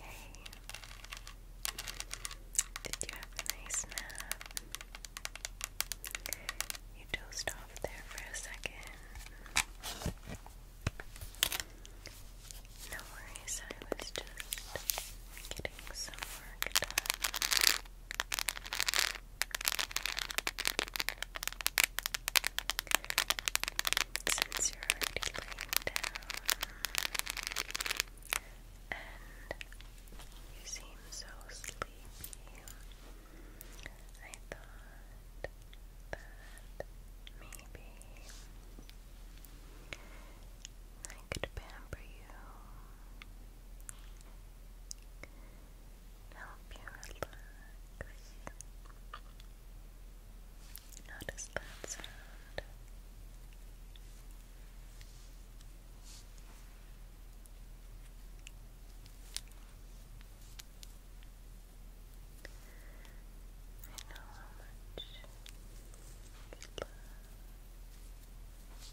Hey, did you have a nice nap? You dozed off there for a second. No worries, I was just getting some work done. Since you're already laying down and you seem so sleepy, I thought that maybe I could pamper you, help you relax. How does that sound? I know how much you I play with your hair. Just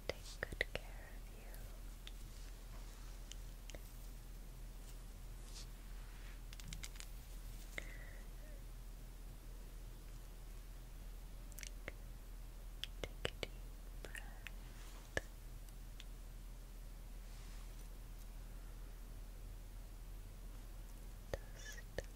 i take good care of you. Take deep breath. Just relax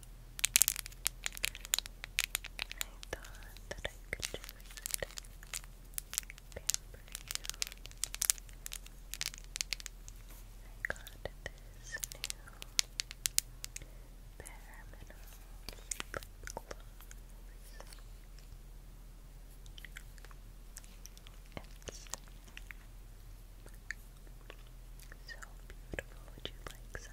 I thought that I could just pamper you. I got this new bare mineral lip It's so beautiful. Would you like some?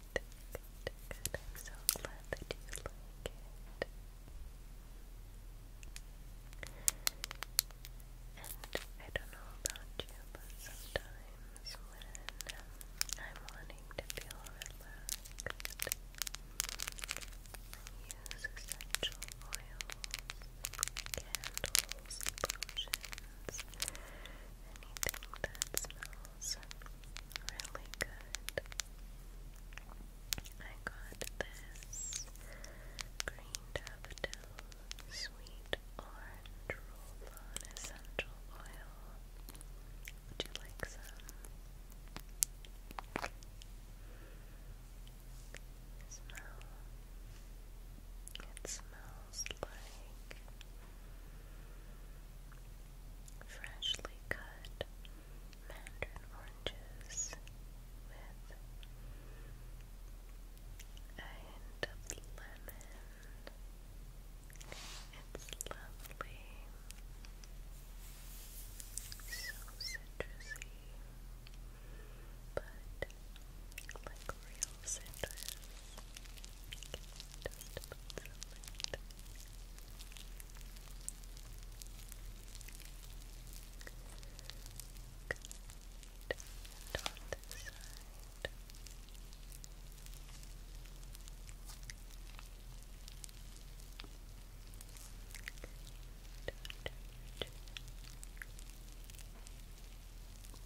I'm so glad that you like it. And I don't know about you, but sometimes when I'm wanting to feel relaxed, I use essential oils, candles, potions, anything that smells Really good. I got this green daffodil sweet orange essential oil. Would you like some? Smell. It smells like freshly cut mandarin oranges with a hint of lemon. It's lovely, so citrusy, but like real citrus just put some light. Good. And on this side. Good. Under your chin. Good.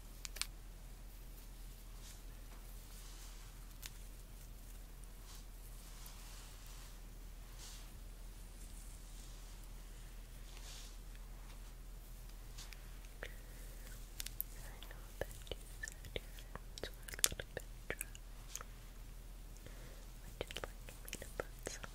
I know that you said your hands a little bit dry. Would you like to put some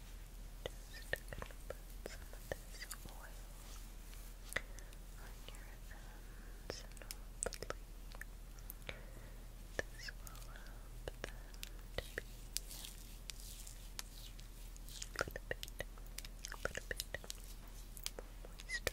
gonna put some of this oil on your ends and hopefully this will a little bit, a bit more moisturized. My hair has been really dry with the weather. So,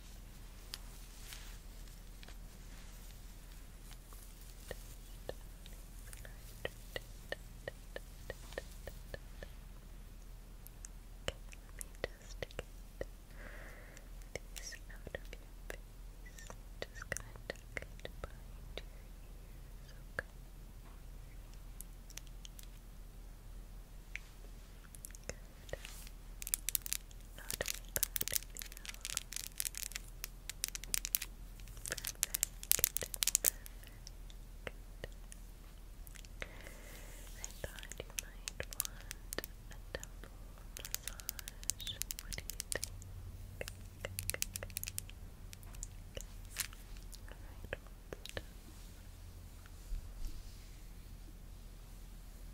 just get these out of your face. Just gonna tuck it behind your ears, okay? Good. Not bad Perfect. I thought you might want a temple massage. What do you think? Alright,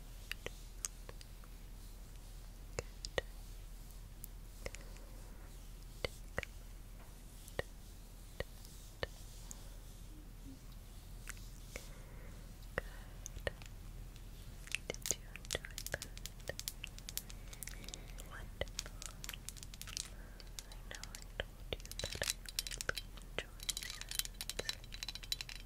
Good. Did you enjoy that? Wonderful. I know I told you that I really enjoy sounds.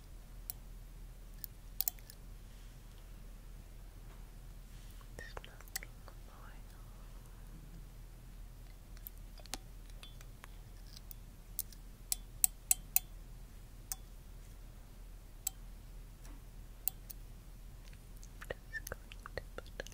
Smoking oil. Just going to put a little bit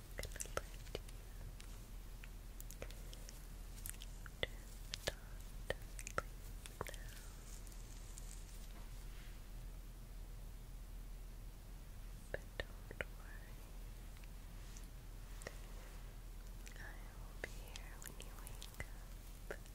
going you But don't worry, I will be here when you wake up. Don't worry.